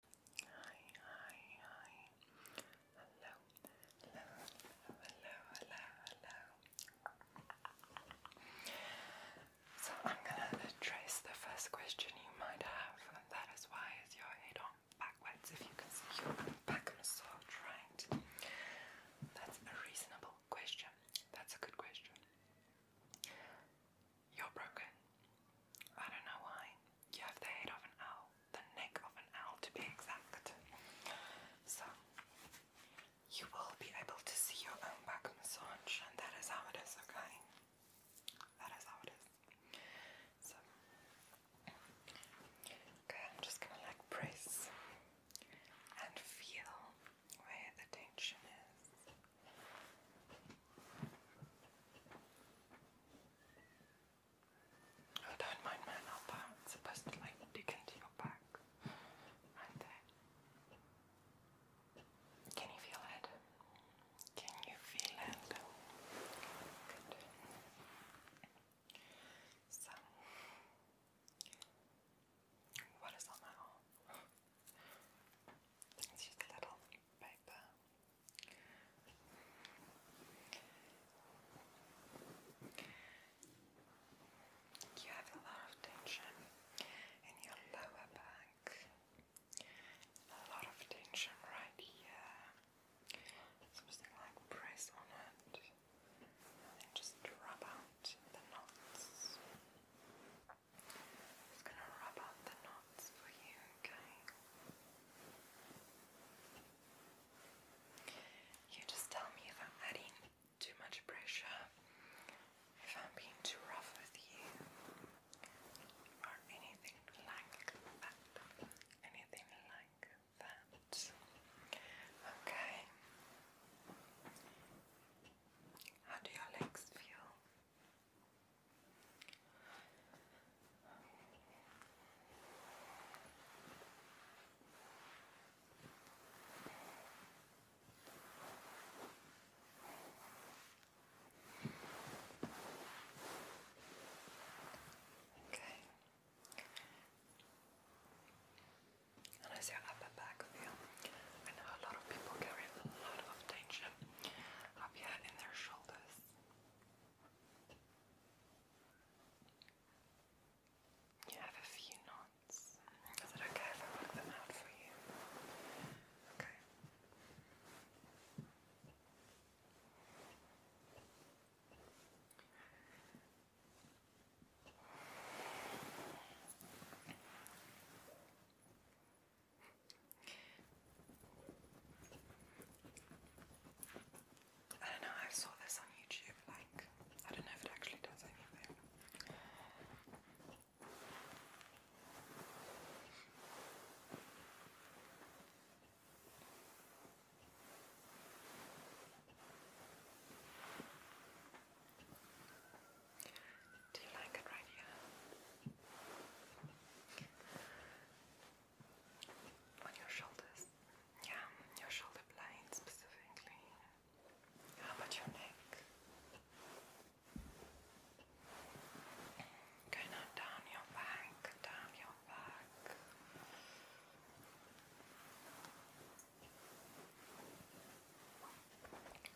Hi, hi, hi. Hello, hello, hello, hello, hello, hello. So I'm gonna trace the first question you might have, and that is why is your head on backwards? If you can see your back massage, right? That's a reasonable question. That's a good question. You're broken. I don't know why. You have the head of an owl, the neck of an owl to be exact. So, you will be able to see your own back massage, and that is how it is, okay? That is how it is. So, okay, I'm just gonna like press and feel where the tension is. I don't mind my upper. It's supposed to like dig into your back. Right there. Can you feel it? Can you feel it? So what is on my arm? It's just a little paper. You have a lot of tension in your lower back, a lot of tension right here. Something like press on it and just rub out the knots just gonna rub out the knots for you, okay? You just tell me if I'm adding too much pressure, if I'm being too rough with you, or anything like that. Anything like that. Okay. How do your legs feel? Okay. And as your upper back feels? I know a lot of people carry a lot of tension up here in their shoulders. You have a few knots. Is it okay if I work them out for you? Okay. I don't know, I saw this on YouTube, like, I don't know if it actually does anything. Do you like it right here? On your shoulders? Yeah, your shoulder blade specifically. How about your neck? Go now down your back, down your back.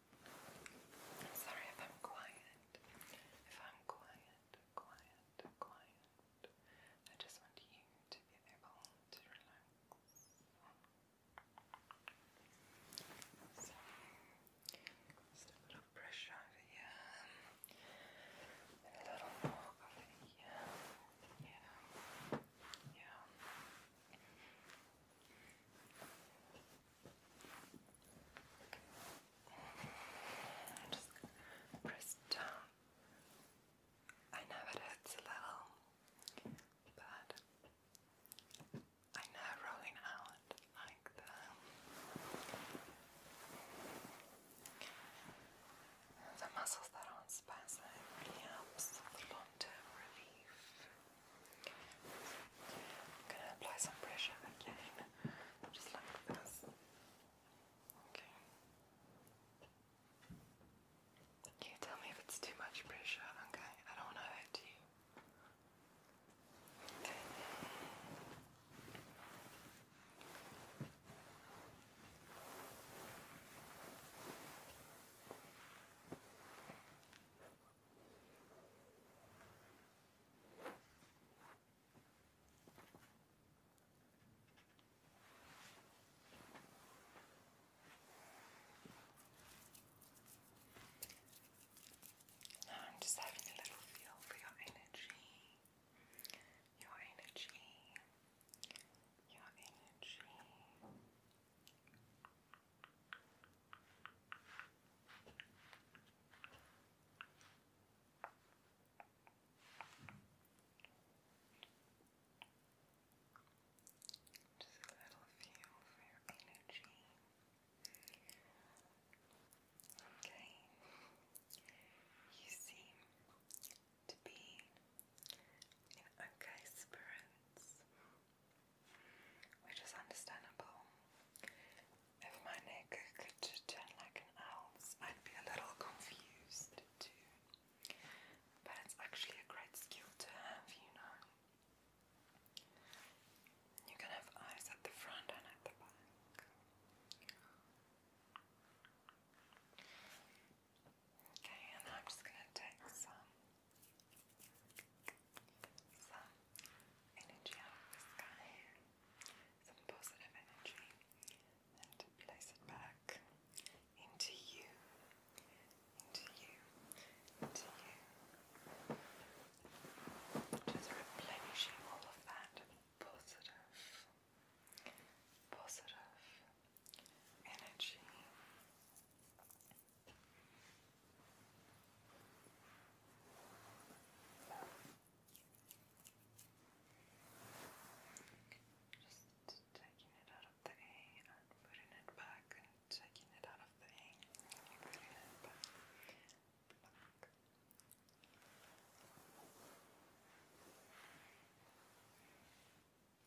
i sorry if I'm quiet. If I'm quiet, quiet, quiet. I just want you to be able to relax. So, just a little pressure over here. a little more over here. Yeah. Yeah. I'm just press down. I know it hurts a little, but I know rolling out like that. The muscles that aren't spasming helps the long-term relief. I'm gonna apply some pressure again, just like this. Okay. You tell me if it's too much pressure, okay? I don't want to hurt you. Now I'm just having a little feel for your energy. Your energy. Your energy. Just a little feel for your energy. Okay. You seem to be in okay spirits. Which is understandable. If my neck could turn like an owl's, I'd be a little confused too. But it's actually a great skill to have, you know. You can have eyes at the front and at the back. Okay, and I'm just going to take some some energy out of the sky, some positive energy, and place it back into you, into you, into you. Just replenishing all of that positive, positive energy. Just taking it out of the A and putting it back and taking it out of the A and putting it back. Pluck. Pluck. It's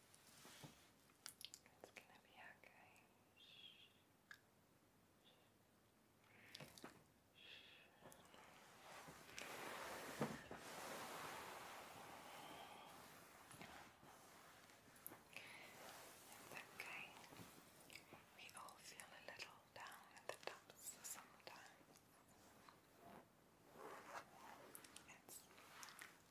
gonna be okay. It's okay. We all feel a little down at the dumps sometimes. It's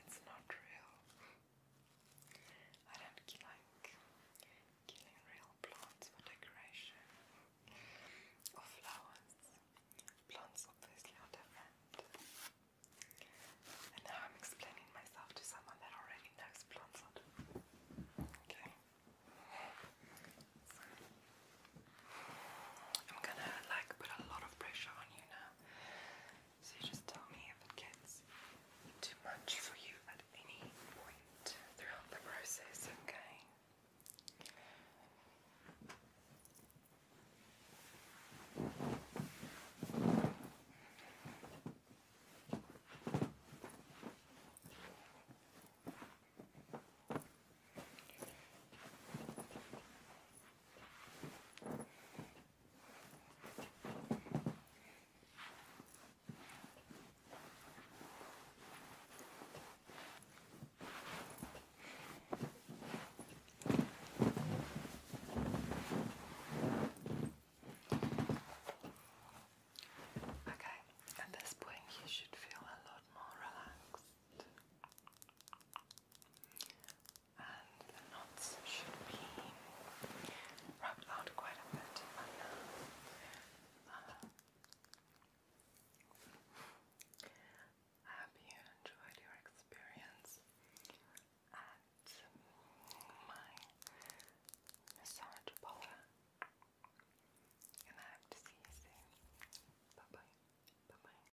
It's not real. I don't like killing real plants for decoration or flowers. Plants obviously are different. And now I'm explaining myself to someone that already knows plants Okay. I'm gonna like put a lot of pressure on you now so you just tell me if it gets too much for you at any point throughout the process, okay? Okay. Okay, at this point, you should feel a lot more relaxed and the knots should be rubbed out quite a bit I hope you enjoyed your experience at my massage parlor and I hope to see you soon. Bye bye. Bye bye.